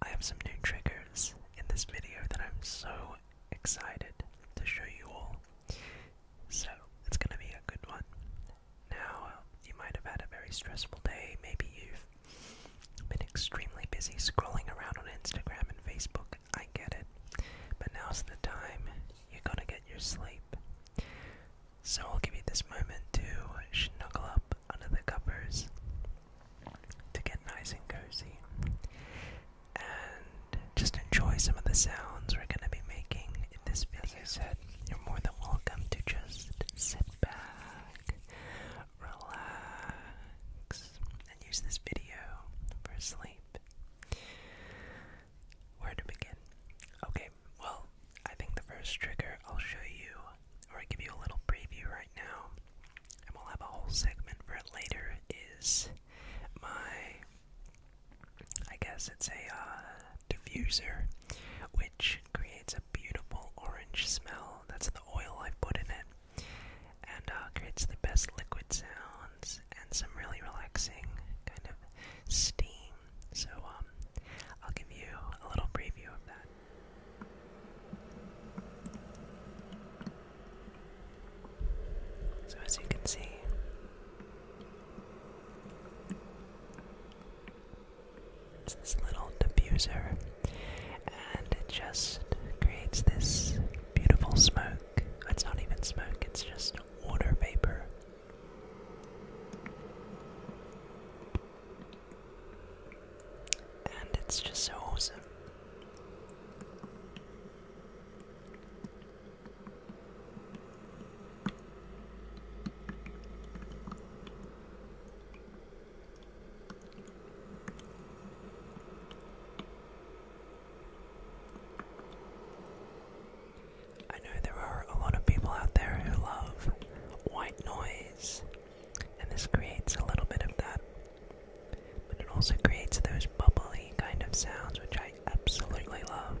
I have some new triggers in this video that I'm so excited to show you all. So, it's gonna be a good one. Now, you might have had a very stressful day, maybe you've been extremely busy scrolling around on Instagram and Facebook. I get it. But now's the time you gotta get your sleep. So I'll give you this moment to snuggle up under the covers to get nice and cozy and just enjoy some of the sounds we're going to be making in this video. said, you're more than welcome to just sit back, relax, and use this video for sleep. Where to begin? Okay, well, I think the first trigger I'll show you, or I give you a little preview right now, and we'll have a whole segment for it later, is my, I guess it's a uh, diffuser, which creates a beautiful orange smell. That's the oil I put in it, and uh, creates the best liquid sounds and some really relaxing kind of steam. So um, I'll give you a little preview of that. So, as you can see, it's this little diffuser, and it just creates this beautiful smoke. It's not even smoke, it's just water vapor. And it's just so awesome. I know there are a lot of people out there who love white noise and this creates a little bit of that. But it also creates those bubbly kind of sounds, which I absolutely love.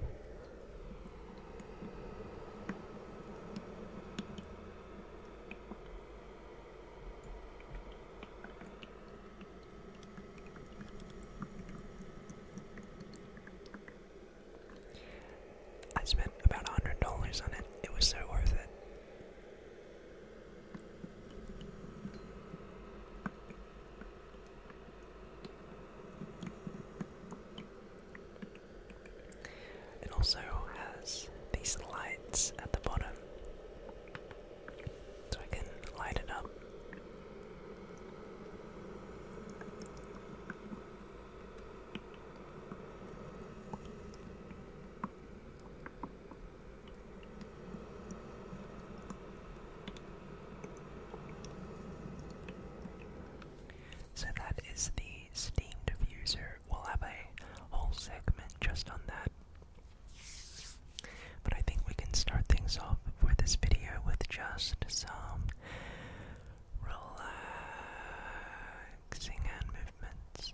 I spent about $100 on it. It was so worth it. It also has these lights at the bottom, so I can light it up. So that is the Steam diffuser. We'll have a whole segment just on that. But I think we can start things off for this video with just some relaxing hand movements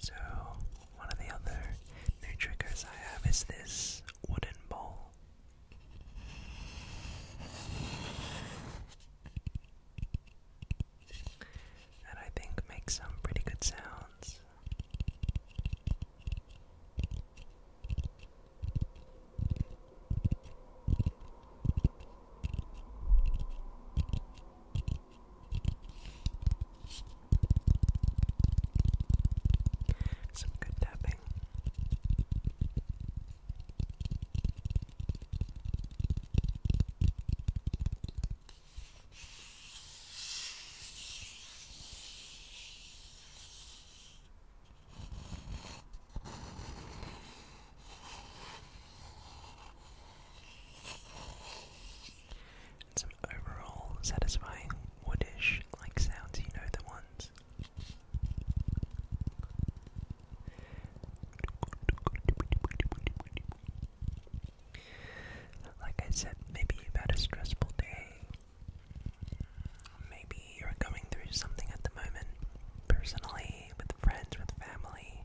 So, one of the other new triggers I have is this wooden bowl that I think makes some pretty good sounds. Some good tapping. And some overall satisfying woodish like sounds, you know the ones. Like I said, maybe you've had a stressful day. Maybe you're going through something at the moment, personally, with friends, with family,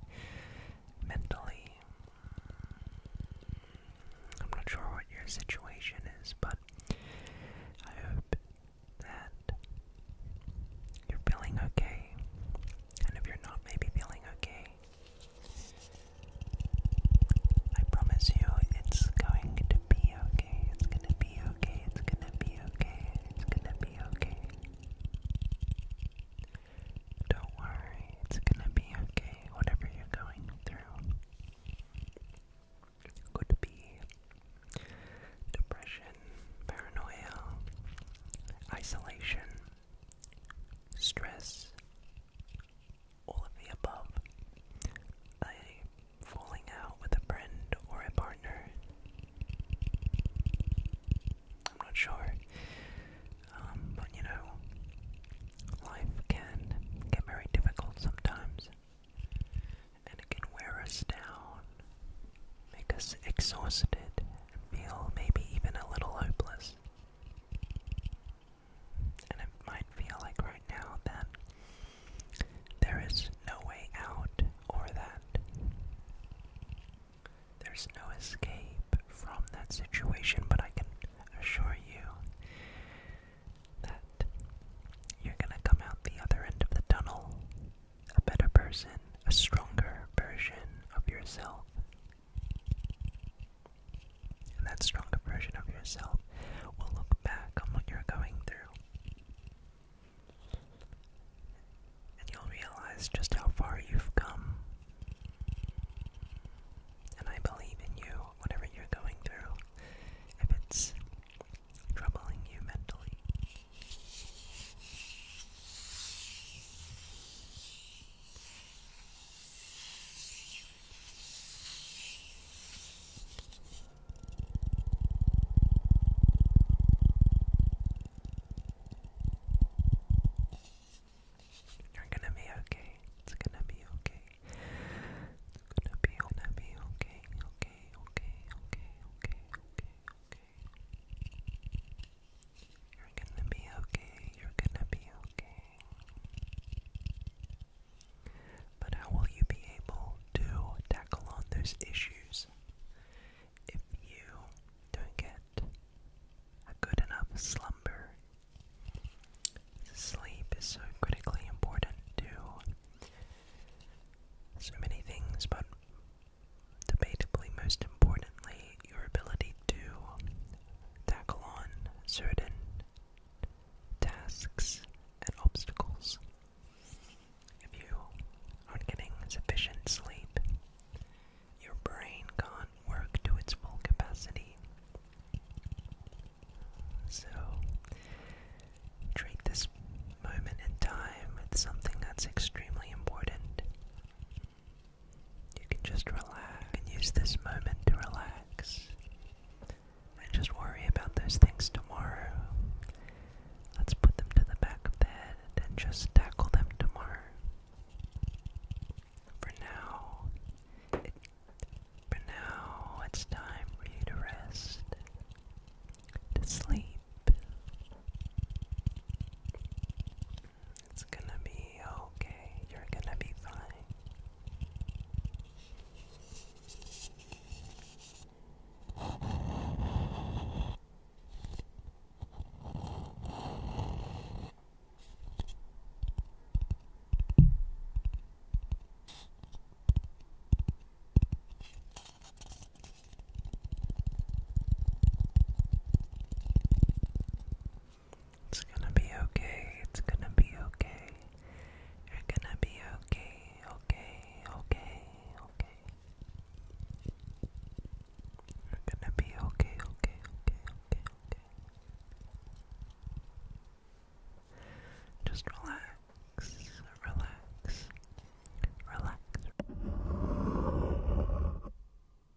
mentally. I'm not sure what your situation is, but I hope that you're feeling okay. And if you're not maybe feeling okay, I promise you it's going to be okay. It's gonna be okay. It's gonna be okay. It's gonna be okay. Don't worry, it's gonna be okay. Whatever you're going through could be depression, paranoia, isolation, stress, all of the above. A falling out with a friend or a partner. I'm not sure. Um, but you know, life can get very difficult sometimes. And it can wear us down, make us exhausted, and feel maybe even a little hopeless. And it might feel like right now that there is no way out, or that there's no escape from that situation, but I can assure you that you're gonna come out the other end of the tunnel a better person, a stronger version of yourself. And that stronger version of yourself will look back on what you're going through. And you'll realize just how far you've come. And I believe in you, whatever you're going through, if it's troubling you mentally. You're gonna be okay. It's gonna be okay. It's gonna be gonna be okay. Okay, okay, okay, okay, okay, okay. You're gonna be okay, you're gonna be okay. But how will you be able to tackle on those issues if you don't get a good enough slumber? Sleep is so critically important to so many things, but debatably most importantly your ability to tackle on certain tasks and obstacles. If you aren't getting sufficient sleep, your brain can't work to its full capacity. So, treat this moment in time with something that's extremely important. You can just relax and use this moment to relax and just worry about those things tomorrow. Let's put them to the back of the head then just tackle them tomorrow. For now, for now, it's time for you to rest, to sleep. It's gonna be okay. You're gonna be fine. It's gonna be okay. It's gonna be okay. You're gonna be okay. Okay. Okay. Okay. You're gonna be okay. Okay. Okay. Okay. Okay. Just relax. Relax. Relax.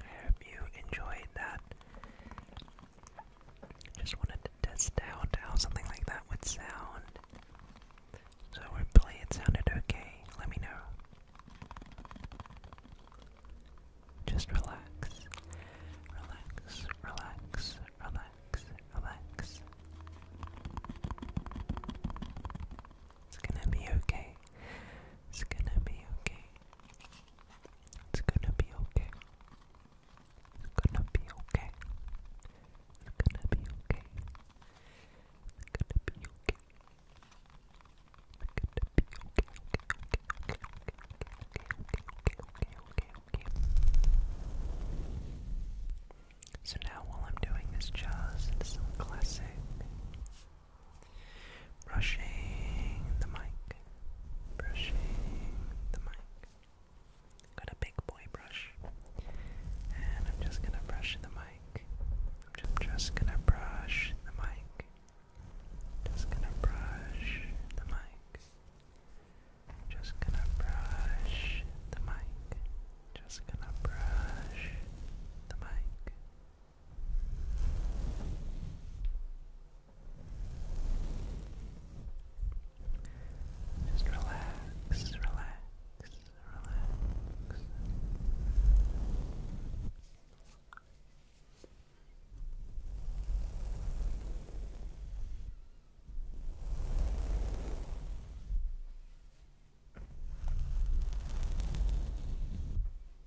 I hope you enjoyed that. Just wanted to test out how something like that would sound. So hopefully it sounded okay. Let me know. Just relax. Relax, relax, relax, relax. It's gonna be okay. It's gonna be okay. It's gonna be okay. It's gonna be okay. It's gonna be okay. It's gonna be okay. It's gonna be okay. Okay, okay, okay, okay, okay, okay, okay, okay, okay. So now while I'm doing this jazz, it's some classic Brushing the mic. Brushing the mic. Got a big boy brush. And I'm just gonna brush the mic. I'm just, just gonna brush the mic. Just gonna brush the mic. Just gonna brush the mic. Just gonna brush the mic. Just relax, relax, relax. Good.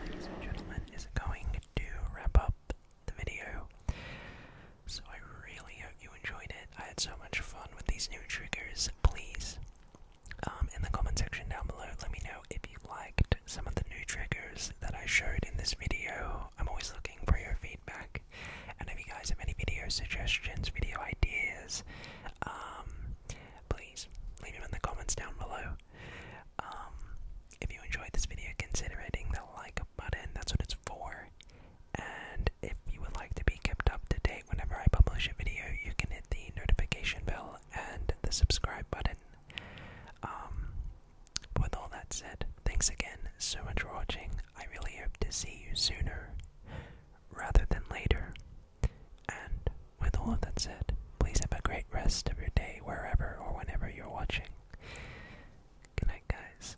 Ladies and gentlemen, is going to wrap up the video. So I really hope you enjoyed it. I had so much fun with these new triggers. Please, um, in the comment section down below, let me know if you liked some of the new triggers that I showed in this video. I'm always looking for your feedback. And if you guys have any video suggestions, video ideas, um, please leave them in the comments down below. Um, if you enjoyed this video, consider hitting the like button. That's what it's for. And if you would like to be kept up to date whenever I publish a video, you can hit the notification bell and the subscribe button. Um, with all that said, thanks again so much for watching. I really hope to see you sooner rather than later. And with all of that said, please have a great rest of your day wherever or whenever you're watching. Good night, guys.